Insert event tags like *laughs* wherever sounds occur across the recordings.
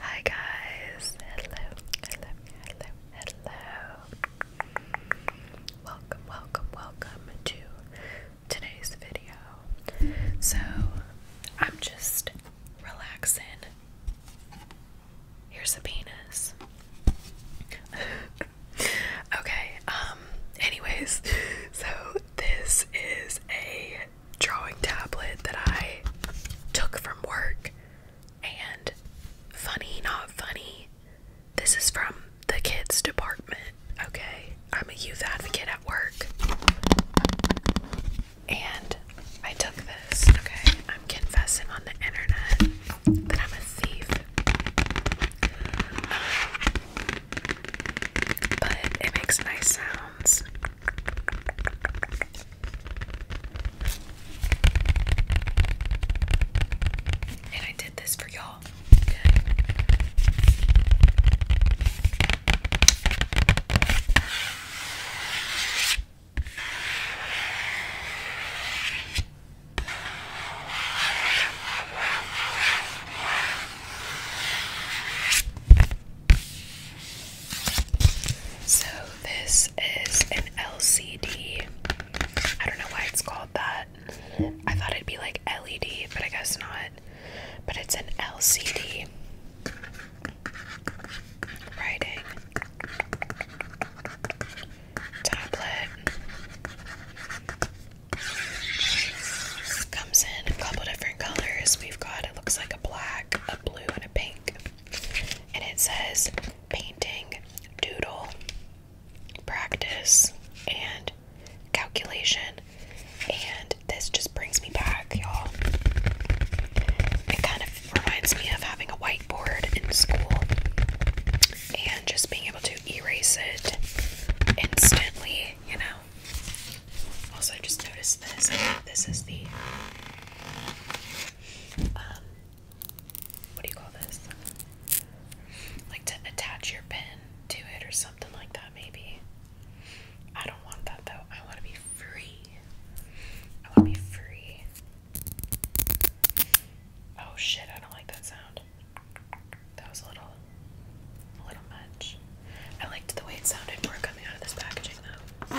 Hi guys, hello, hello, hello, Welcome, welcome, welcome to today's video. So, I'm just relaxing. Here's a penis. *laughs* okay, um, anyways, *laughs* so this is a drawing tablet that I took from work. And funny, not funny, this is from the kids' department. Okay, I'm a youth advocate at work. And I took this, okay? I'm confessing on the internet that I'm a thief. but it makes nice sounds. And I did this for y'all. So, this is an LCD. I don't know why it's called that. I thought it'd be like LED, but I guess not. But it's an LCD. Writing tablet comes in a couple different colors. We've got it looks like a black a blue, and a pink. And it says painting, doodle, practice, and calculation. And this just brings me back, y'all. It kind of reminds me of having a whiteboard in school and just being able to erase it instantly, you know. Also, I just noticed this. this is the um, what do you call this? Like to attach your pen to it or something like that, maybe. I don't want that though. I want to be free. I want to be free. Oh shit! I don't like that sound. That was a little, a little much. I liked the way it sounded more coming out of this packaging, though.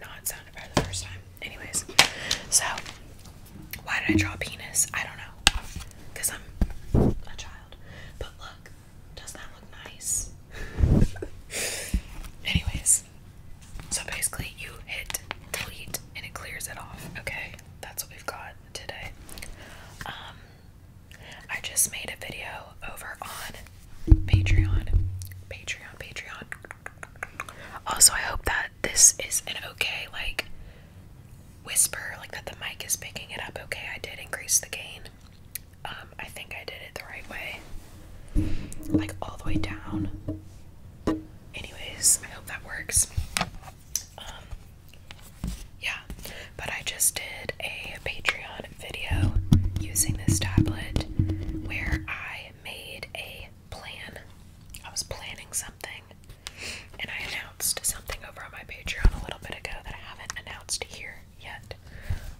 No, sounded better the first time. Anyways, so why did I draw penis? I don't know. Because I'm a child. But look, does that look nice? *laughs* Anyways, so basically, you hit delete and it clears it off. Okay, that's what we've got today. Um, I just made a video over on Patreon. Patreon, Patreon. Also, I hope that this is an okay, like, whisper, like that the mic is picking it up okay. I did increase the gain. Um, I think I did it the right way. Like, all the way down anyways, I hope that works. Um, yeah, but I just did a Patreon video using this tablet where I made a plan. I was planning something and I announced something over on my Patreon a little bit ago that I haven't announced here yet.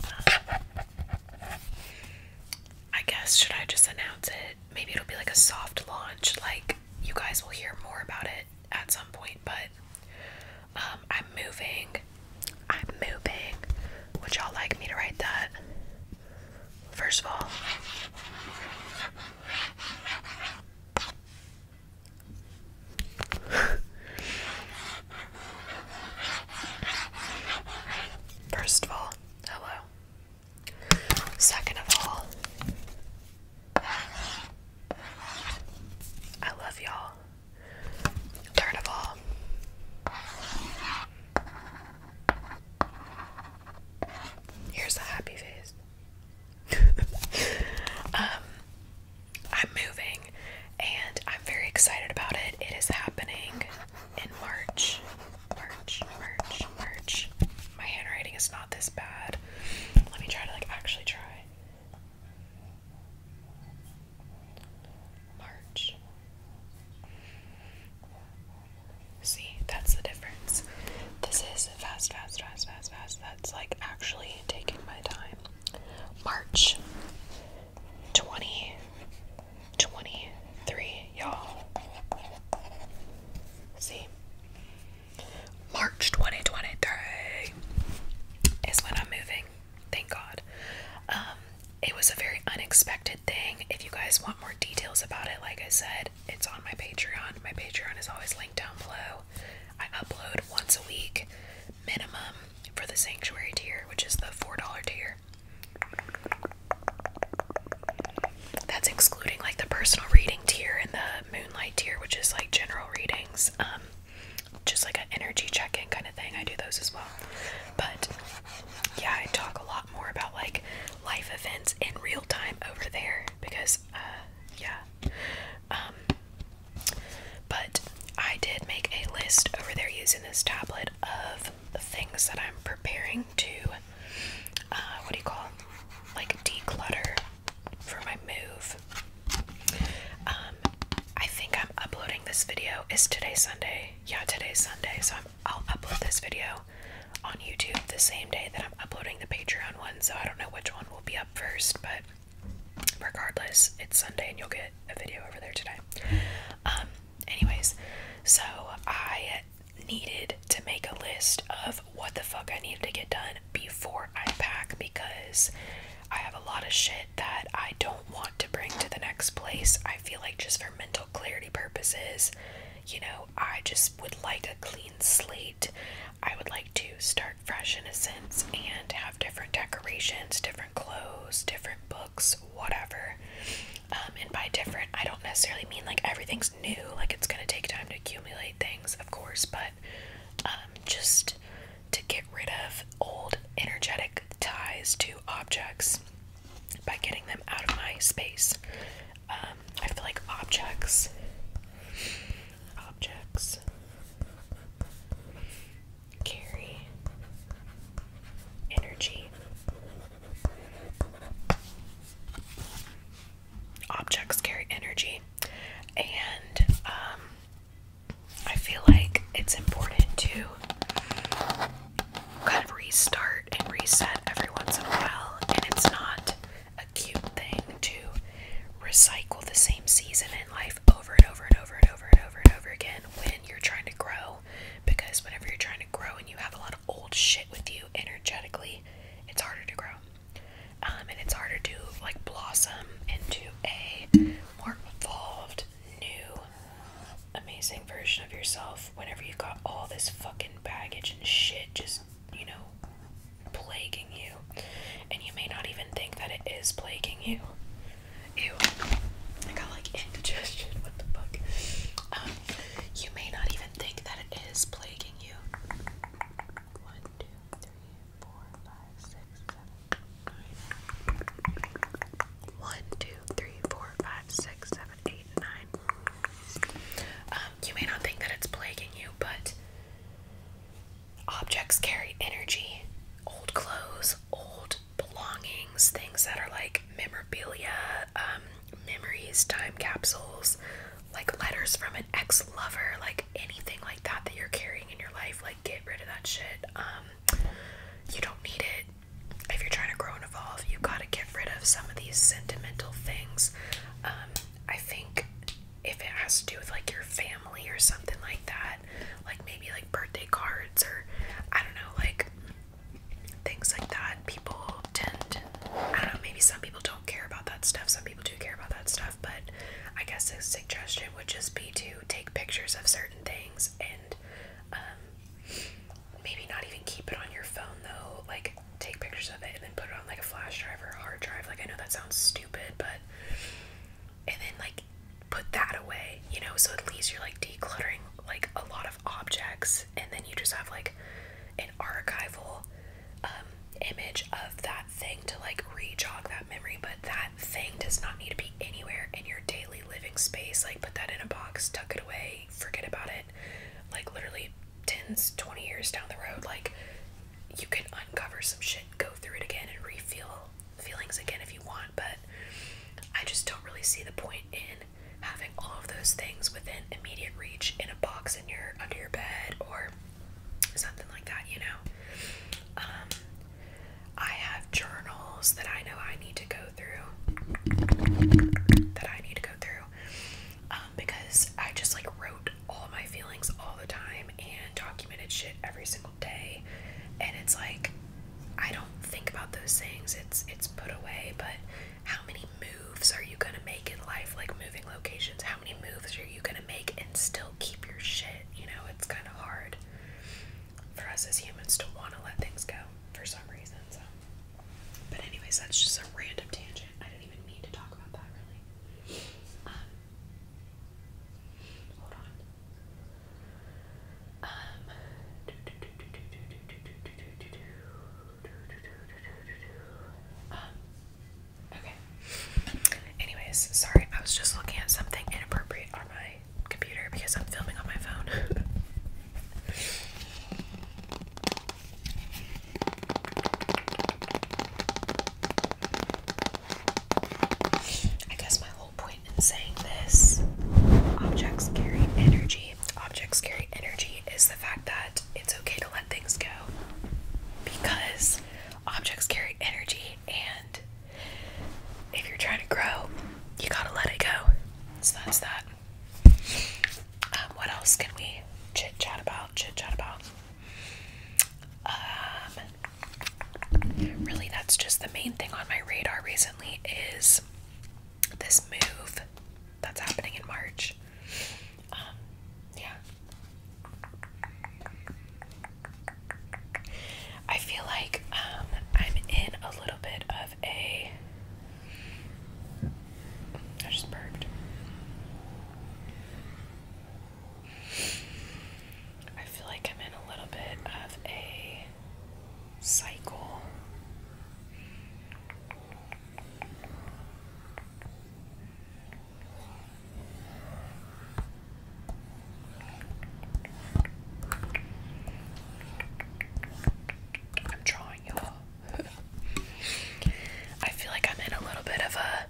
Um, I guess should I just announce it? Maybe it'll be like a soft launch. Like you guys will hear more about it at some point, but um I'm moving. I'm moving. Would y'all like me to write that? First of all, *laughs* First of all, hello. Second of all, I love y'all. Third of all, here's a happy face. *laughs* um, I'm moving and I'm very excited about it. It is happening in March. March, March, March. My handwriting is not this bad. Let me try to like actually try. March. See, that's the difference. This is fast, fast, fast, fast, fast. That's like actually taking my time. March. 20, y'all. See? March 2023 is when I'm moving. Thank God. Um, it was a very unexpected thing. If you guys want more details about it, like I said, it's on my Patreon. My Patreon is always linked down below. I upload once a week, minimum, for the sanctuary tier, which is the $4 tier. That's excluding like the personal reading tier and the moonlight tier, which is like general readings, um, just like an energy check in kind of thing. I do those as well. But yeah, I talk a lot more about like life events in real time over there because, uh, yeah. Um, but I did make a list over there using this tablet of the things that I'm preparing to, uh, what do you call it? Like declutter for my move. Um, I think I'm uploading this video. Is today Sunday? Yeah, today's Sunday. So i will upload this video on YouTube the same day that I'm uploading the Patreon one. So I don't know which one will be up first, but regardless, it's Sunday and you'll get a video over there today. Um, anyways, so I needed to make a list of what the fuck I needed to get done before I pack because I have a lot of shit that I don't want to bring to the next place. I feel like just for mental clarity purposes, you know, I just would like a clean slate. I would like to start fresh in a sense and have different decorations, different clothes, different books, whatever. Um, and by different, I don't necessarily mean like everything's new, like it's gonna take time to accumulate things, of course, but um, just to get rid of old energetic ties to objects by getting them out of my space. Um, I feel like objects, objects, carry energy. Objects carry energy, and um, I feel like it's important to kind of restart and reset every once in a while, and it's not a cute thing to recycle the same season in life over and over and over and over and over and over again when you're trying to grow because whenever you're trying to grow and you have a lot of old shit with you energetically, it's harder to grow. Um, and it's harder to like blossom into a more evolved, new, amazing version of yourself whenever you've got all this fucking baggage and shit just, you know, plaguing you. And you may not even think that it is plaguing you. Ew. I got like indigestion. What the fuck? Um, you may not even think that it is plaguing you. 1, 2, Um, you may not think that it's plaguing you, but objects carry energy. Old clothes, old belongings, things that are like memorabilia, um, memories, time capsules, like letters from an ex lover, like anything like that that you're carrying in your life. Like, get rid of that shit. Um, you don't need it. If you're trying to grow and evolve, you gotta get rid of some of these sentimental things. Um, I think if it has to do with like your family or something like that like maybe like birthday cards or I don't know, like things like that. People tend, I don't know, maybe some people don't care about that stuff. Some people do care about that stuff, but I guess a suggestion would just be to take pictures of certain things and um, maybe not even keep it on your phone though. Like take pictures of it and then put it on like a flash drive or a hard drive. Like I know that sounds stupid, but and then like put that away, you know, so at least you're like decluttering like a lot of objects and then you just have like an archival um, image of that thing to like re-jog that memory, but that thing does not need to be anywhere in your daily living space. Like put that in a box, tuck it away, forget about it. Like literally tens, 20 years down the road, like you can uncover some shit, go through it again and refuel feelings again if you want, but I just don't really see the point in having all of those things within immediate reach in a box in your under your bed or something like that, you know. Um, I have journals that I know I need to go through that I need to go through. Um, because I just like wrote all my feelings all the time and documented shit every single day and it's like I don't think about those things. It's it's put away, but how many moves are you gonna make in life, like moving locations? How many moves are you gonna make and still keep your shit? You know, it's kinda hard for us as humans to wanna let things go for some reason. So but anyways, that's just a random tangent. I do not even mean to talk about that really. Um, hold on. Um, okay. Anyways, sorry, I was just looking at something inappropriate on my computer because I'm filming on my phone. *laughs* I guess my point in saying this. Objects carry energy. Objects carry energy is the fact that it's okay to let things go because objects carry energy, and if you're trying to grow, you gotta let it go. So that's that. Um, what else can we chit chat about? Chit chat about. Um, Really, that's just the main thing on my radar recently is this move that's happening in March. Um, yeah. I feel like um, I'm in a little bit of a. I just burped. I feel like I'm in a little bit of a cycle. I'm drawing you *laughs* I feel like I'm in a little bit of a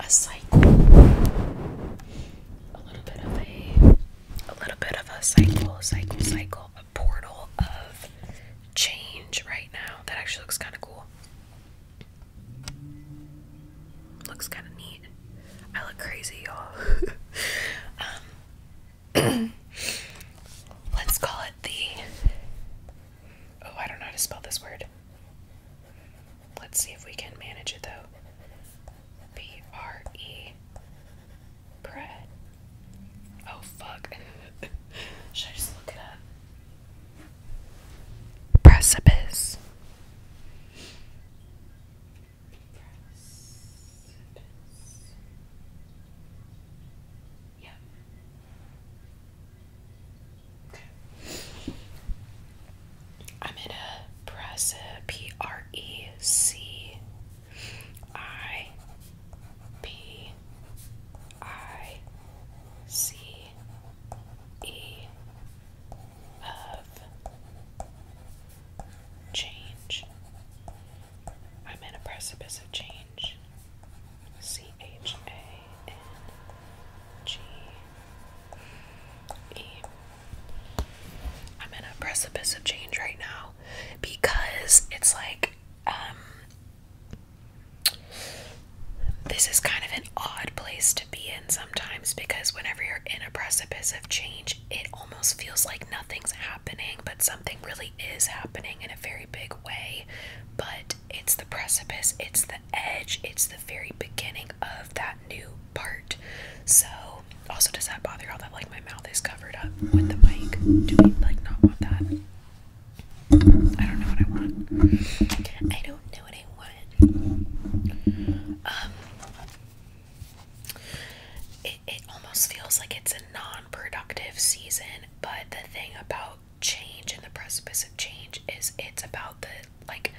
a, cycle, a little bit of a, a little bit of a cycle, cycle, cycle, a portal of change right now. That actually looks kind of cool. Looks kind of neat. I look crazy, y'all. *laughs* um, *clears throat* let's call it the. Oh, I don't know how to spell this word. Let's see if we can manage it though. B R E. Bread. Oh fuck. *laughs* Should I just look it up? Precipice. Precipice. Yep. I'm gonna press it P R E C I P I C E of change. I'm in a precipice of change. C H A N G i I'm in a precipice of change right now because it's like um, this is kind of an odd place to be in sometimes because whenever you're in a precipice of change it almost feels like nothing's happening but something really is happening in a very big way but it's the precipice it's the edge it's the very beginning of that new part. So, also, does that bother you that like my mouth is covered up with the mic? Do we like not want that? I don't know what I want. I don't know what I want. Um, it it almost feels like it's a non-productive season, but the thing about change and the precipice of change is it's about the like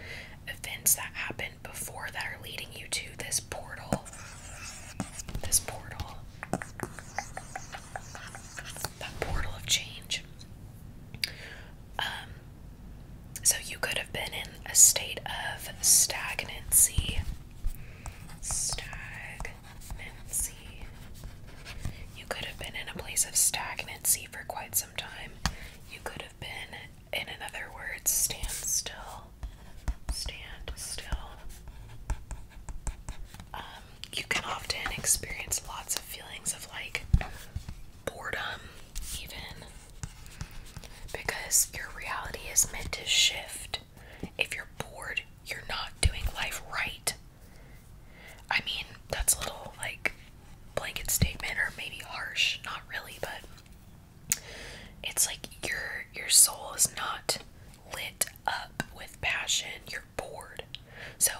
events that happened before that are leading you to this portal. This portal. That portal of change. Um, so you could have been in a state of stagnancy. Stagnancy. You could have been in a place of stagnancy for quite some time. You could have been, in another word, stand still. Stand still. Um, you can often experience lots of feelings of like boredom, even because your reality is meant to shift. If you're bored, you're not doing life right. I mean, that's a little like blanket statement or maybe harsh, not really, but it's like your your soul is not lit up with passion. You're bored. So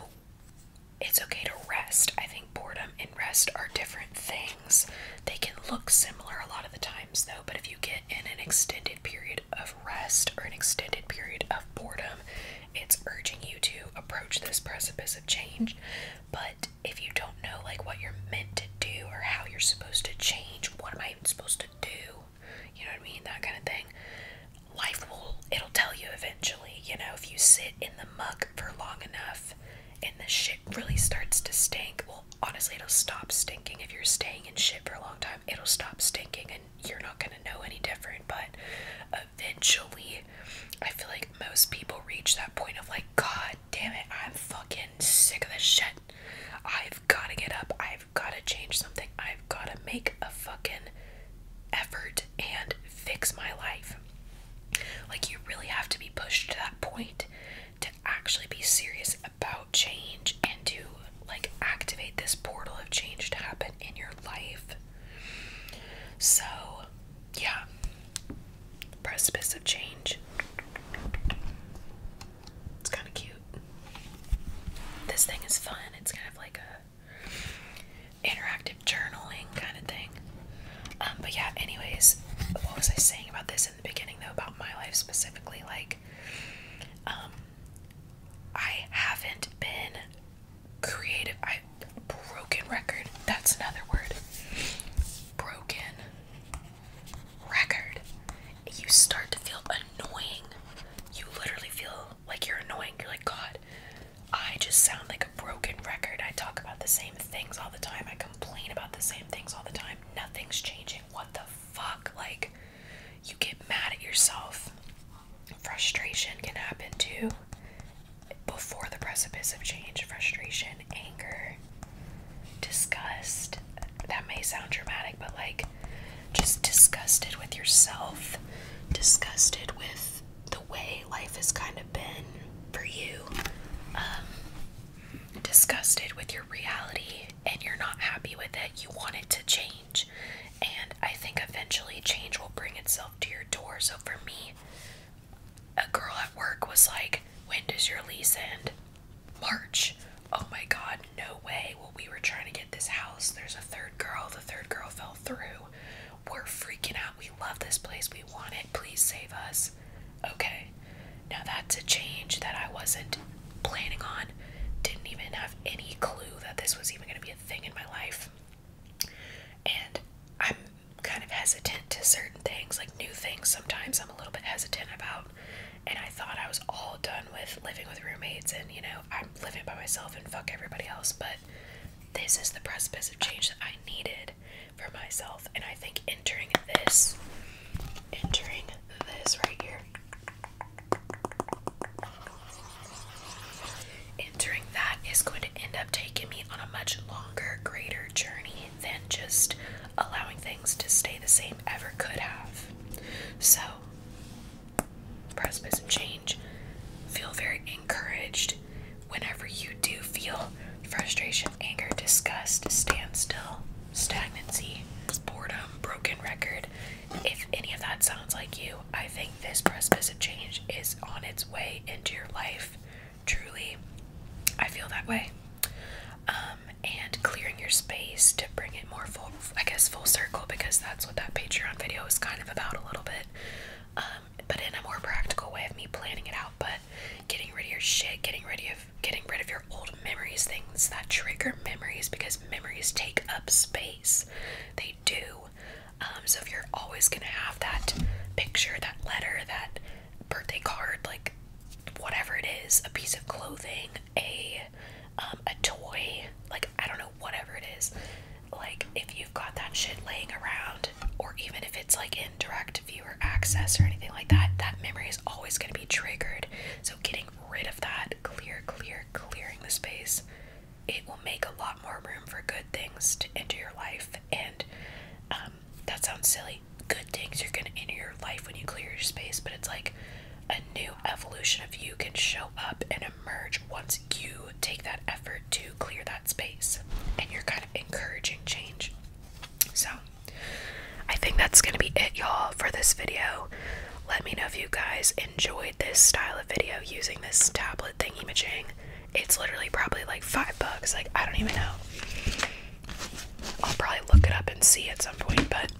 it's okay to rest. I think boredom and rest are different things. They can look similar a lot of the times though, but if you get in an extended period of rest or an extended period of boredom, it's urging you to approach this precipice of change. But if you don't know like what you're meant to do or how you're supposed to change, what am I even supposed to do? You know what I mean? That kind of thing. Life will it'll tell you eventually, you know, if you sit in the muck for long enough and the shit really starts to stink. Well, honestly, it'll stop stinking if you're staying in shit for a long time. It'll stop stinking and you're not going to know any different, but eventually I feel like most people reach that point of like, God damn it, I'm fucking sick of this shit. I've gotta get up, I've gotta change something, I've gotta make a fucking effort and fix my life. Like, you really have to be pushed to that point to actually be serious about change and to like activate this portal of change to happen in your life. So, yeah, precipice of change. It's kind of cute. This thing is fun. It's kind of like a interactive journaling kind of thing. Um, but yeah, anyways, what was I saying about this in the beginning though? About my life specifically, like, um, I haven't been creative I broken record. That's another word. Broken record. You start to feel annoying. You literally feel like you're annoying. You're like, God, I just sound like a broken record. I talk about the same things all the time. I complain about the same things all the time. Nothing's changing. What the fuck? Like, you get mad at yourself frustration can happen too before the precipice of change frustration, anger, disgust. That may sound dramatic, but like just disgusted with yourself, disgusted with the way life has kind of been for you, um, disgusted with your reality, and you're not happy with it. You want it to change and I think eventually change will bring itself to your door. So for me, a girl at work was like, When does your lease end? March. Oh my god, no way. Well, we were trying to get this house. There's a third girl. The third girl fell through. We're freaking out. We love this place. We want it. Please save us. Okay. Now that's a change that I wasn't planning on. Didn't even have any clue that this was even going to be a thing in my life. And I'm kind of hesitant to certain things, like new things sometimes I'm a little bit hesitant about. And I thought I was all done with living with roommates and, you know, I'm living by myself and fuck everybody else. But this is the precipice of change that I needed for myself. And I think entering this, entering this right here, Entering that is going to end up taking me on a much longer, greater journey than just allowing things to stay the same ever could have. So, press and change. Feel very encouraged whenever you do feel frustration, anger, disgust, standstill, stagnancy, boredom, broken record, if any of that sounds like you, I think this precipice of change is on its way into your life. Truly, I feel that way. Um, and clearing your space to bring it more full, I guess, full circle because that's what that Patreon video is kind of about a little bit. Um, but in a more practical way of me planning it out, but getting rid of your shit, getting rid of getting rid of your old memories, things that trigger memories because memories take up space. They do. Um, so if you're always gonna have that picture, that letter, that birthday card, like whatever it is, a piece of clothing, a um, a toy, like I don't know, whatever it is, like if you've got that shit laying around, or even if it's like in direct viewer access or anything like that, that memory is always gonna be triggered. So getting rid of that, clear, clear, clearing the space it will make a lot more room for good things to enter your life. And um, that sounds silly. Good things are going to enter your life when you clear your space, but it's like a new evolution of you can show up and emerge once you take that effort to clear that space and you're kind of encouraging change. So, I think that's going to be it, y'all, for this video. Let me know if you guys enjoyed this style of video using this tablet thingy machine. It's literally probably like five bucks. Like, I don't even know. I'll probably look it up and see at some point, but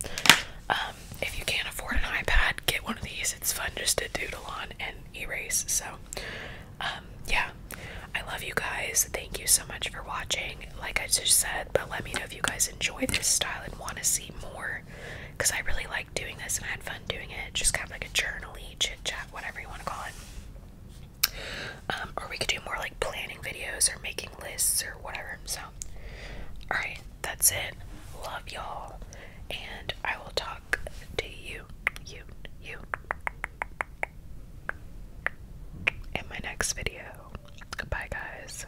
um, if you can't afford an iPad, get one of these. It's fun just to doodle on and erase. So, um, yeah, I love you guys. Thank you so much for watching. Like I just said, but let me know if you guys enjoy this style and want to see more because I really like doing this and I had fun doing it. Just kind of like a journaly chit chat, whatever you want to call it. Um, or we could do more like planning videos or making lists or whatever. So, all right, that's it. Love y'all, and I will talk to you, you, you in my next video. Goodbye, guys.